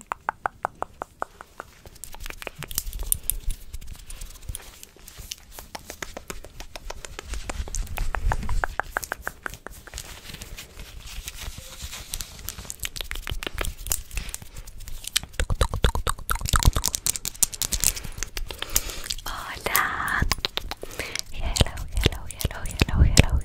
Hola. Hello, hello, hello, hello, hello, hello.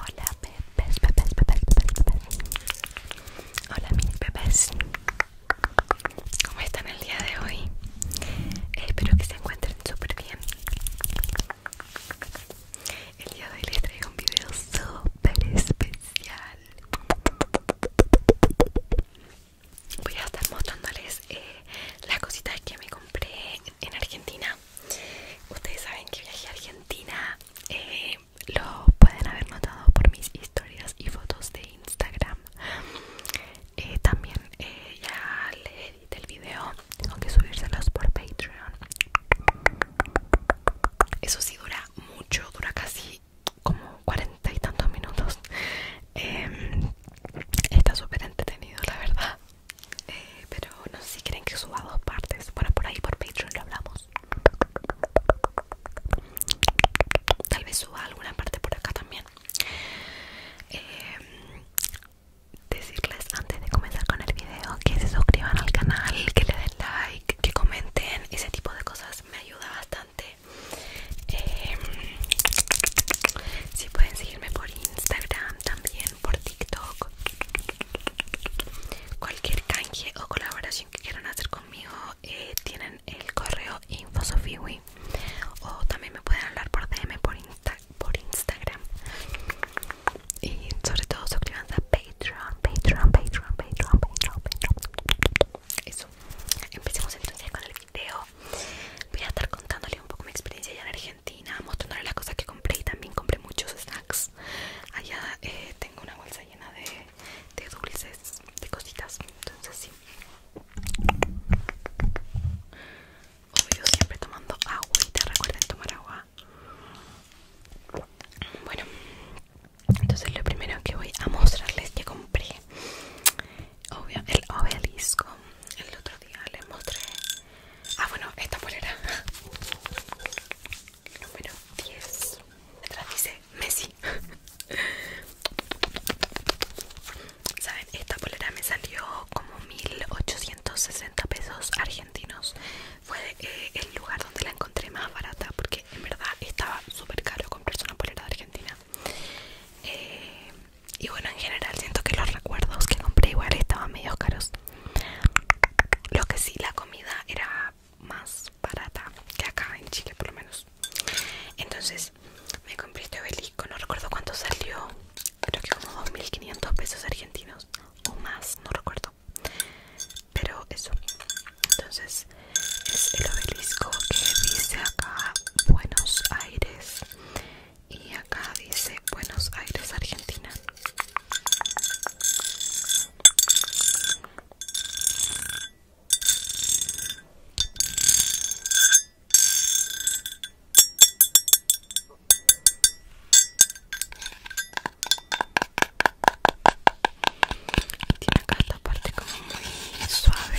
Hola bebés, bebés, bebés, bebés, bebés. Hola mis bebés. ¿Cómo están el día de hoy? espero que se encuentren súper bien. El día de hoy les traigo un video súper especial voy a estar mostrándoles eh, las cositas que me compré en Argentina. Ustedes saben que viajé a Argentina, eh, lo pueden haber notado por mis historias y fotos de Instagram. Eh, también ya le edité el video, tengo que subírselos por Patreon. Eso sí dura mucho, dura casi como cuarenta y tantos minutos. Em, Está súper entretenido, la verdad. Eh, pero no sé si quieren que suba dos partes. Bueno, por ahí por Patreon lo hablamos. Tal vez suba alguna parte por acá también. Eh, decirles antes de comenzar con el video que se suscriban al canal, que le den like, que comenten, ese tipo de cosas me ayuda bastante. Eh, si pueden seguirme por Instagram, también por TikTok. Cualquier canje o colaboración que quieran hacer conmigo eh, tienen el correo infosofiwi o también me pueden hablar por DM por, Insta por Instagram. Y sobre todo suscribanse a Patreon, Patreon, Patreon, Patreon, Patreon, Patreon. Eso. Empecemos entonces con el video. Voy a estar contándole un poco mi experiencia allá en Argentina, mostrándole las cosas que compré y también compré muchos snacks. Allá eh, tengo una bolsa llena de, dulces, de cositas. Entonces sí. Obvio, siempre tomando agua y te recuerden tomar agua. Bueno, entonces lo primero que voy a mostrarles que compré, obvio, el obelisco el otro día les mostré. Ah, bueno, esta polera. Número 10. Detrás dice Messi. Saben, esta polera me salió como 1860 pesos argentinos. Fue eh, el lugar donde la encontré más barata porque en verdad estaba súper caro comprarse una polera de Argentina. Eh, y bueno, en general siento que los recuerdos que compré igual estaban medio caros. Lo que sí, la comida era más barata que acá en Chile por lo menos. Entonces me compré este obelisco, no recuerdo cuánto salió. Creo que como 2.500 pesos argentinos o más, no recuerdo. Pero eso. Entonces es el obelisco que dice acá Buenos Aires y acá dice Buenos Aires, Argentina. Tiene acá esta parte como muy suave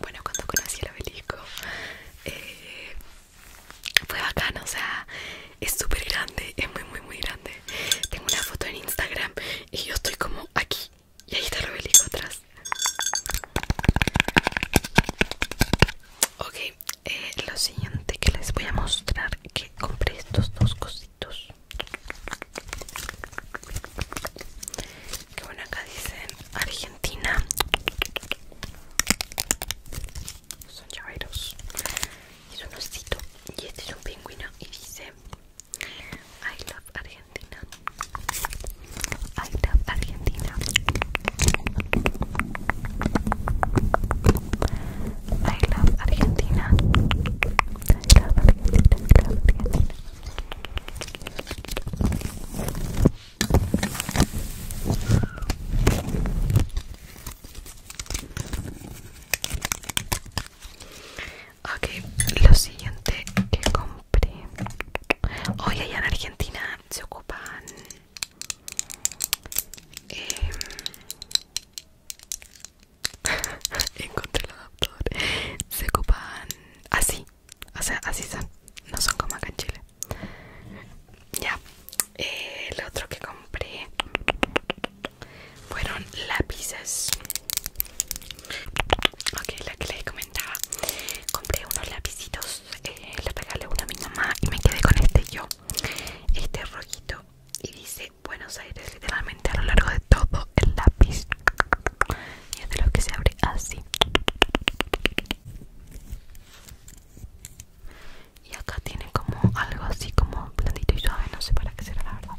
Bueno, cuando conocí el obelisco eh, fue bacán, o sea, es súper grande, es muy, muy, muy grande. Tengo una foto en Instagram y yo estoy como aquí y ahí está el obelisco atrás. Ok, eh, lo siguiente que les voy a mostrar que compré estos dos cositos. Que bueno, acá dicen Argentina. Son llaveros. Es un osito. Y este es un pingüino. Y dice I love Argentina. I love Argentina. I love Argentina. I love Argentina. I love Argentina. Ok, lo siguiente que compré hoy allá en Argentina se ocupan eh, encontré el adaptador se ocupan así así son no son como acá en Chile ya eh, el otro que compré fueron lápices ok la que les comentaba compré unos lapicitos eh, le regalé uno a mi mamá y me quedé con este yo este rojito y dice Buenos Aires literalmente a lo largo de todo el lápiz y es de los que se abre así y acá tiene como algo así como blandito y suave no sé para qué será la verdad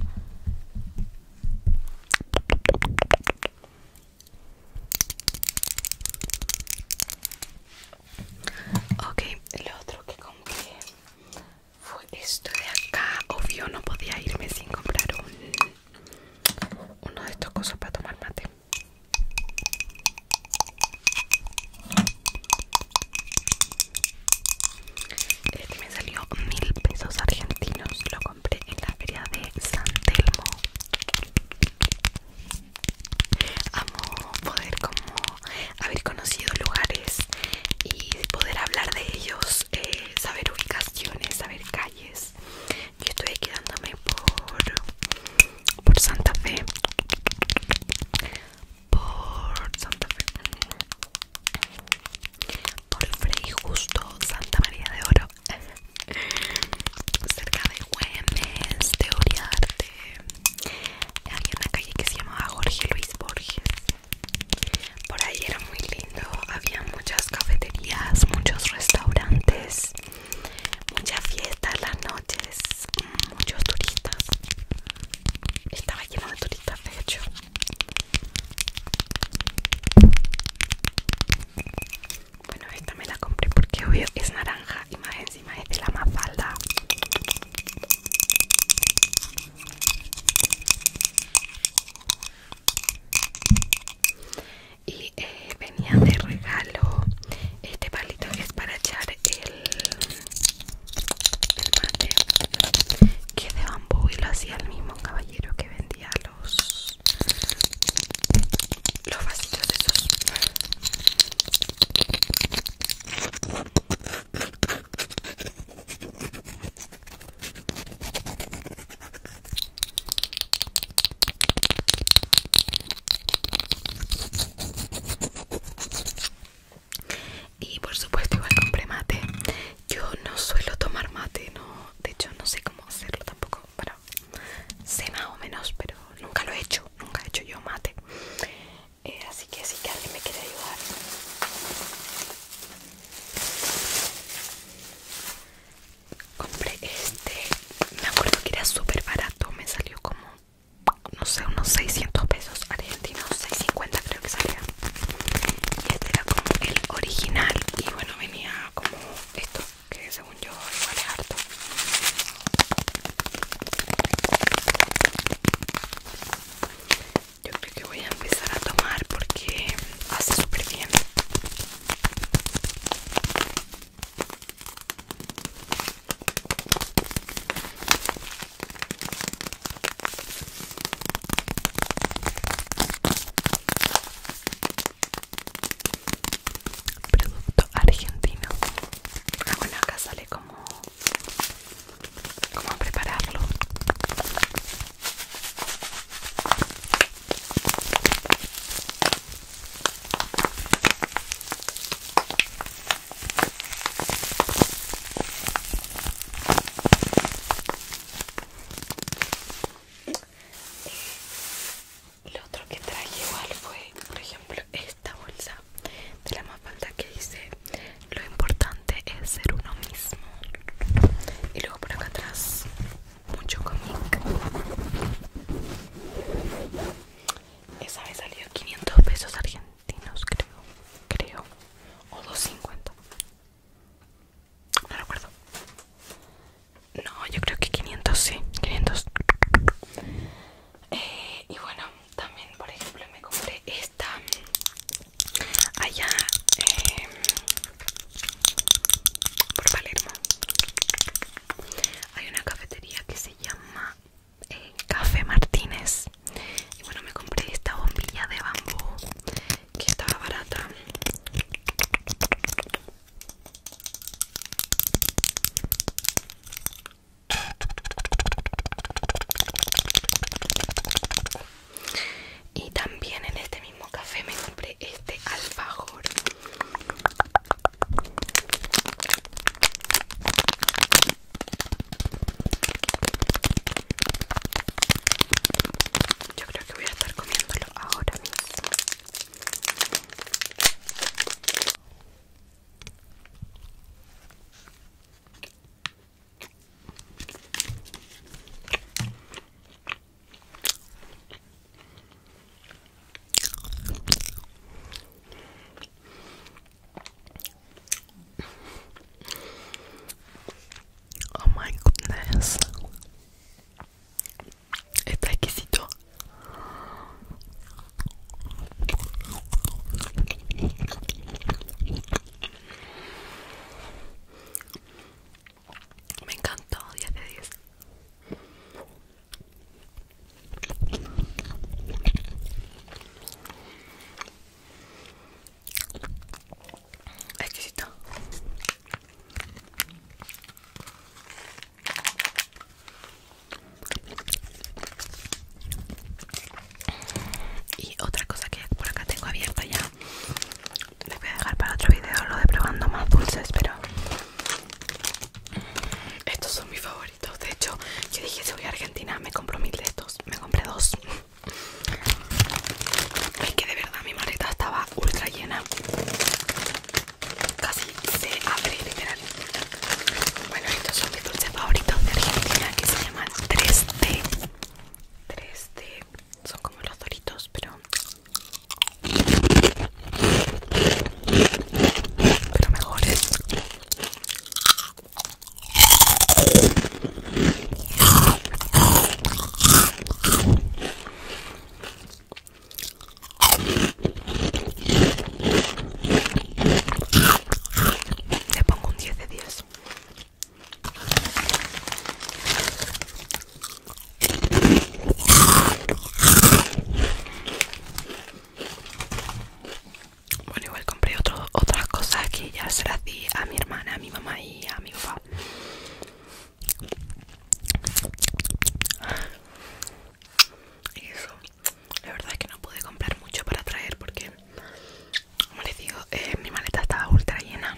Ok, lo otro que compré fue esto de acá. Obvio, no podía irme sin comprar un uno de estos cosas para tomar mate este me salió mil pesos argentinos lo compré en la feria de San Telmo amo poder como haber conocido lugares y poder hablar de ellos eh, saber ubicaciones, saber calles. Yo estoy quedándome por, por Santa Fe. Por Santa Fe. Por Frei Justo, Santa María de Oro. Cerca de Güemes, Teoría Arte. Había una calle que se llama Jorge Luis Borges. Por ahí era muy lindo, había muchas cafeterías, muchos restaurantes, muchas fiestas las noches, muchos turistas. Estaba lleno de turistas, de hecho. Bueno, esta me la compré porque obvio es naranja y más encima es de la mafalda y eh, venía de regalo este palito que es para echar el, mate que es de bambú y lo hacía el mismo caballero que vendía los los vasitos esos y por supuesto igual compré mate. Yo no suelo tomar mate, no, de hecho no sé cómo hacerlo tampoco. pero sé o menos, pero nunca lo he hecho, nunca he hecho yo mate. Eh, así que si alguien me quiere ayudar Compré este, me acuerdo que era súper barato, me salió como, no sé, unos 600 pesos argentinos, 650 creo que salía. Y este era como el original y bueno, venía como esto, que según yo igual es harto. Yo creo que voy a empezar a tomar porque hace súper bien. Producto argentino. bueno, acá sale como prepararlo. Lo otro que traje igual fue, por ejemplo, esta bolsa de la más falta que dice lo importante es ser uno mismo y luego por acá atrás mucho cómic esa me salió 500 pesos argentinos creo creo o 250 no recuerdo no yo creo que 500 sí 500 eh, y bueno también por ejemplo me compré esta allá em, por Palermo hay una cafetería que se llama eh, Café Martínez y bueno me compré esta bombilla de bambú que estaba barata y también en este mismo café me compré este alfajor. Yo creo que voy a estar comiéndolo ahora mismo. Oh my goodness. Está exquisito. Me encantó, 10 de 10. Exquisito. Y otra cosa que por acá tengo abierta ya les voy a dejar para otro video lo de probando más dulces, pero estos son mis favoritos. De hecho, yo dije si voy a Argentina me compro mil de estos. Me compré dos. Es que de verdad mi maleta estaba ultra llena. Casi se abre literal. Bueno, estos son mis dulces favoritos de Argentina que se llaman 3D. 3D son como los doritos, pero. Pero mejores. Le pongo un 10 de 10. Bueno, igual compré otras cosas que ya se las di a mi hermana, a mi mamá y a mi papá. Y eso, la verdad es que no pude comprar mucho para traer porque como les digo, eh, mi maleta estaba ultra llena.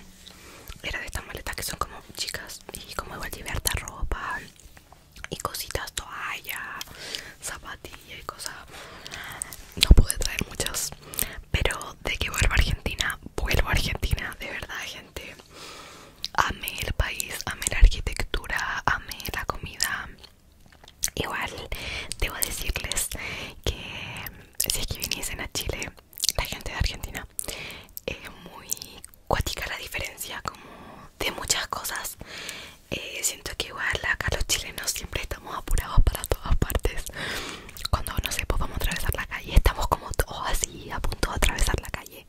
Era de estas maletas que son como chicas y como igual llevé harta ropa y cositas, toalla, zapatillas y cosas. No pude traer muchas, pero de que vuelvo a Argentina, vuelvo a Argentina, de verdad, gente. Ame el país, amé la arquitectura, amé la comida. Igual debo decirles que si es que viniesen a Chile la gente de Argentina es muy cuática la diferencia como de muchas cosas eh, siento que igual acá los chilenos siempre estamos apurados para todas partes cuando no sé pues a atravesar la calle estamos como todos así a punto de atravesar la calle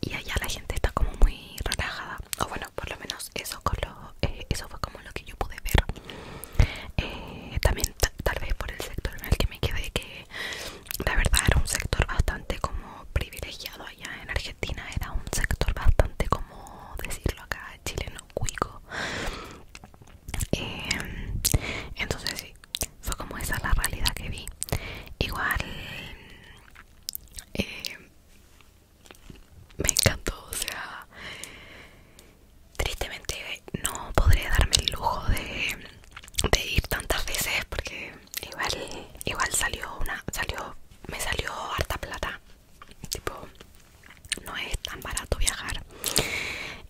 y allá la gente está como muy relajada o bueno por lo menos eso con eh, eso fue como lo que yo pude ver eh, también tal vez por el sector en el que me quedé que la verdad era un sector bastante como privilegiado allá en Argentina era un sector bastante como decirlo acá chileno cuico em, entonces sí fue como esa la realidad que vi igual em, me encantó o sea tristemente no podré darme el lujo de, ir tantas veces porque igual igual salió una salió me salió harta plata tipo no es tan barato viajar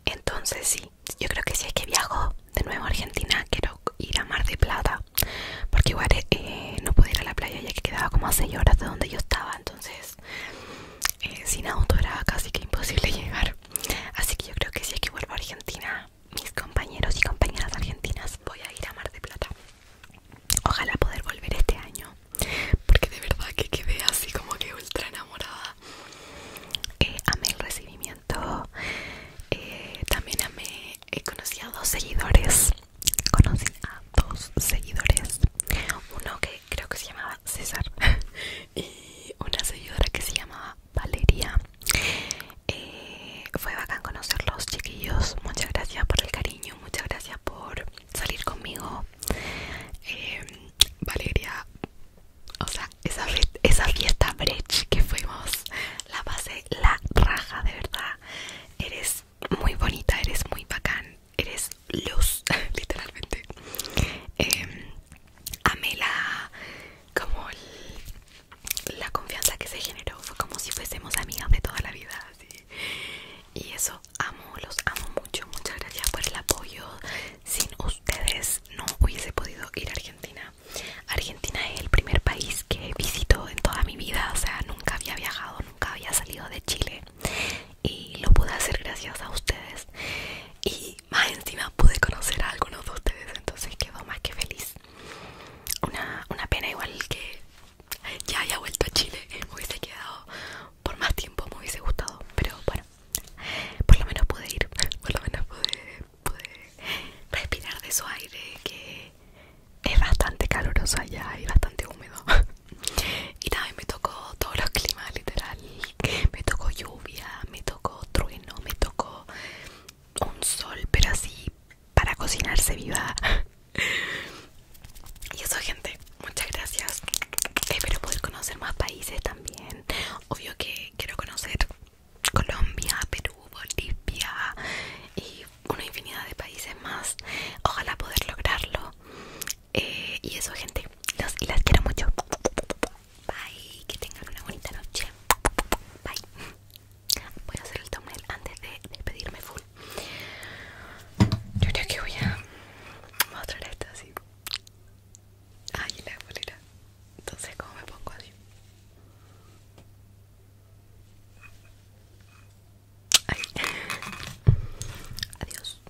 entonces sí yo creo que si es que viajo de nuevo a Argentina quiero ir a Mar de Plata porque igual eh, no puedo ir a la playa ya que quedaba como a 6 horas de donde yo estaba entonces eh, sin auto era casi que imposible llegar Así que yo creo que si es que vuelvo a Argentina Mis compañeros y compañeras argentinas Voy a ir a Mar de Plata Ojalá poder volver este año Porque de verdad que quedé así como que ultra enamorada eh, Amé el recibimiento eh, También amé Conocí a dos seguidores Conocí a dos seguidores Uno que creo que se llamaba César y una señora que se llamaba Valeria eh, fue bacán conocerlos chiquillos muchas gracias por el cariño muchas gracias por salir conmigo em, Valeria o sea esa, fiesta brech que fuimos la pasé la raja de verdad eres muy bonita eres muy bacán eres luz literalmente em, amé la como la confianza que se generó fue como si fuésemos amigas de toda la vida y eso amo los amo mucho muchas gracias por el apoyo sin ustedes no hubiese podido ir a Argentina Argentina es el primer país que visito en toda mi vida o sea nunca había viajado nunca había salido de Chile y lo pude hacer gracias a ustedes y más encima pude conocer a algunos de ustedes entonces quedó más que feliz una, una pena igual que ya haya vuelto a Chile eh, me hubiese quedado por más tiempo me hubiese gustado pero bueno por lo menos pude ir por lo menos pude, respirar de su aire que es bastante caluroso allá y bastante húmedo y también me tocó todos los climas literal me tocó lluvia me tocó trueno, me tocó un sol, pero así para cocinarse viva. y eso, gente, muchas gracias. Espero poder conocer más países también. Obvio que quiero conocer Colombia, Perú, Bolivia y una infinidad de países más. Ojalá poder lograrlo. Eh, y eso gente los y las quiero mucho bye que tengan una bonita noche bye voy a hacer el thumbnail antes de despedirme full yo creo que voy a mostrar esto así ay la bolera entonces como me pongo así ay adiós